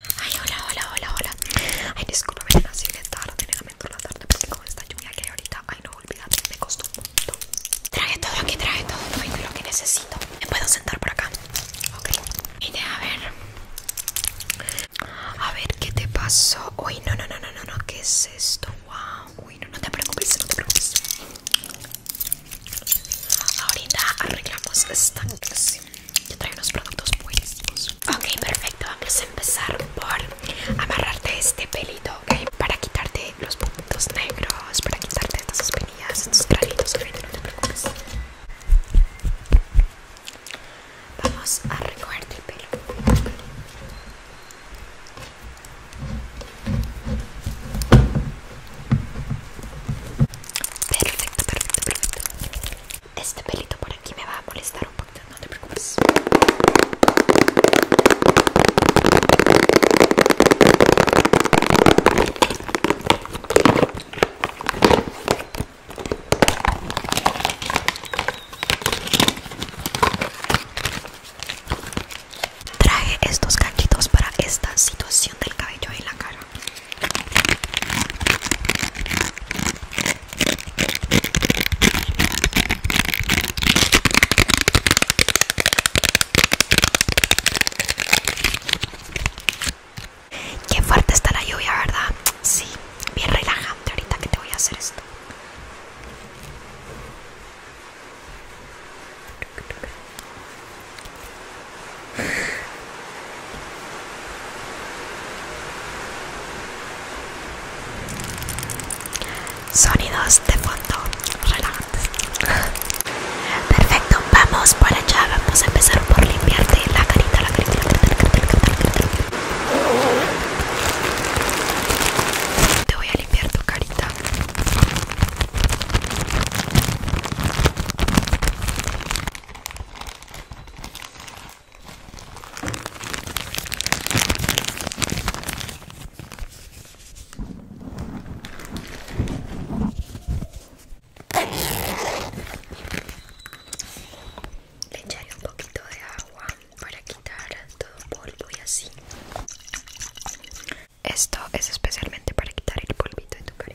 Ay, hola, hola, hola, hola. Ay, discúlpame, así de tarde, le lamento la tarde porque con esta lluvia que hay ahorita, ay, no olvídate, me costó mucho. Traje todo aquí, traje todo, todo lo que necesito. Me puedo sentar por acá. Ok. Mira a ver. A ver, ¿qué te pasó? Uy, no, no, no, no, no, no, ¿qué es esto? Wow. Uy, no, no te preocupes, no te preocupes. Ahorita arreglamos esta clase yo traigo unos productos buenísimos Ok, perfecto, vamos a empezar por amarrarte este pelito, ok Para quitarte los puntos negros, para quitarte estas espinillas, estos granitos, ok, no te preocupes Vamos a recogerte el pelo Perfecto, perfecto, perfecto este pelito por aquí me va a molestar un poquito, no te preocupes. Traje estos ganchitos para esta situación del cabello en la cara. Qué fuerte está la lluvia, ¿verdad? Sí, bien relajante ahorita que te voy a hacer esto. Sonidos de fondo relajantes. Perfecto, vamos por allá. Vamos a empezar por limpiarte la carita, la carita, la carita, la carita, carita. Te voy a limpiar tu carita. Le echaré un poquito de agua para quitar todo polvo y así. Esto es especialmente para quitar el polvito de tu cara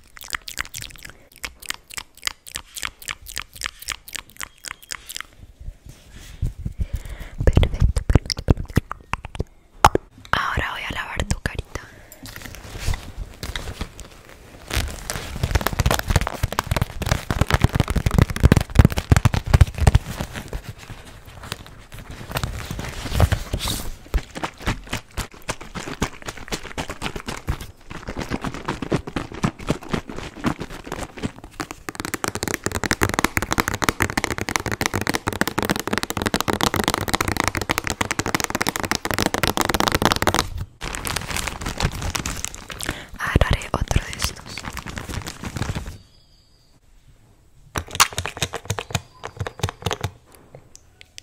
Perfecto, perfecto. Ahora voy a lavar tu carita agarraré ah, otro de estos.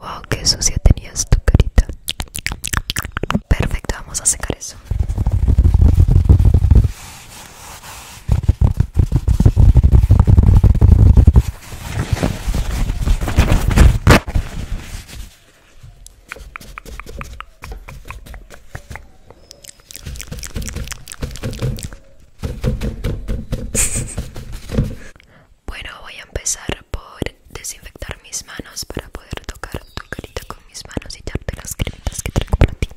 Wow, qué sucia tenías tu carita. Perfecto, vamos a secar eso. Bueno, voy a empezar por desinfectar mis manos para poder tocar tu carita con mis manos y darte las cremitas que traigo para ti.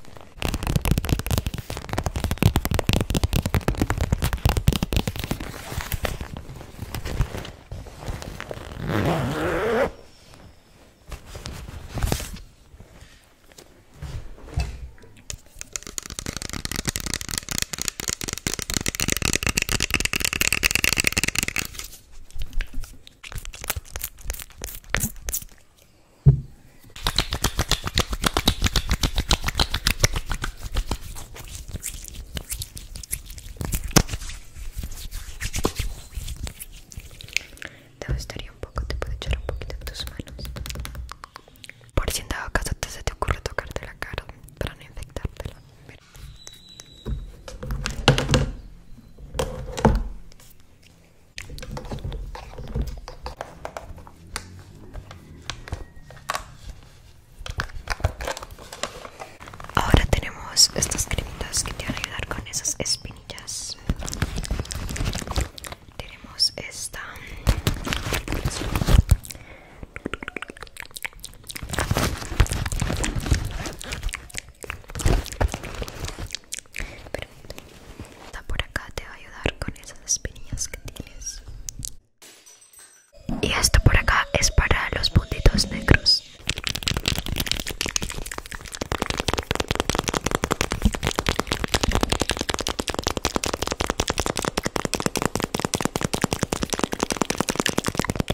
Te gustaría un poco, te puedo echar un poquito de tus manos. Por si en dado caso te se te ocurre tocarte la cara para no infectártela. Ahora tenemos estas cremitas que te van a ayudar con esas espinillas. Tenemos esta esta por acá, te va a ayudar con esas espinillas que tienes. Y esto por acá es para los puntitos negros.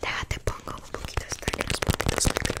Déjate, te pongo un poquito hasta que los poquitos negros.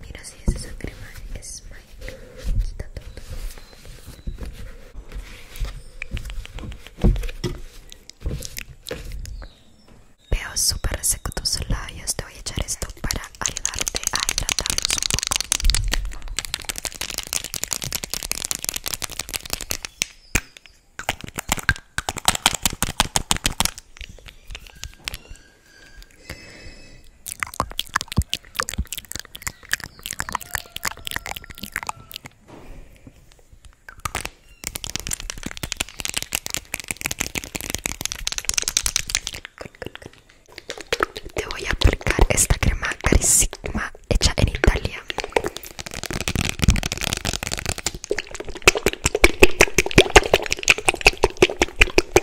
Mira si esa crema es mágica. está todo. Veo súper seco tus labios. Te voy a echar esto para ayudarte a hidratarlos un poco. Te voy a aplicar esta crema Carisigma hecha en Italia.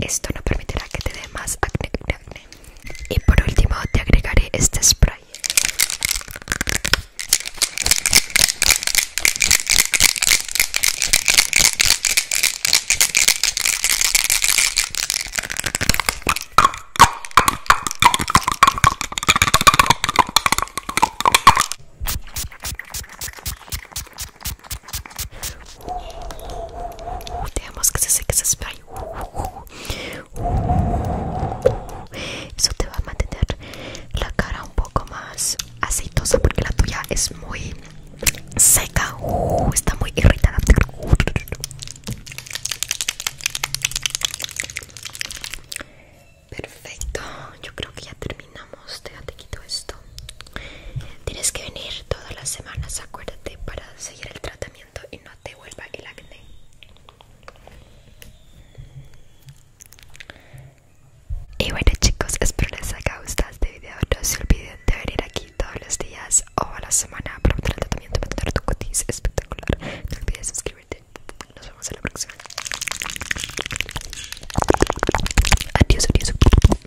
Esto no permitirá que te dé más acné, Y por último te agregaré este spray. Uh, tenemos que se seque, se spray uh, uh, Eso te va a mantener la cara un poco más aceitosa porque la tuya es muy seca. Está muy irritada. Perfecto, yo creo que ya terminamos. te quito esto. Tienes que venir todas las semanas, acuérdate, para seguir el tratamiento y no te vuelva el acné. Y bueno chicos, espero les haya gustado este video. No se olviden de venir aquí todos los días o a la semana para el tratamiento para tener tu cutis espectacular. No olvides suscribirte. Nos vemos en la próxima. Adiós, adiós.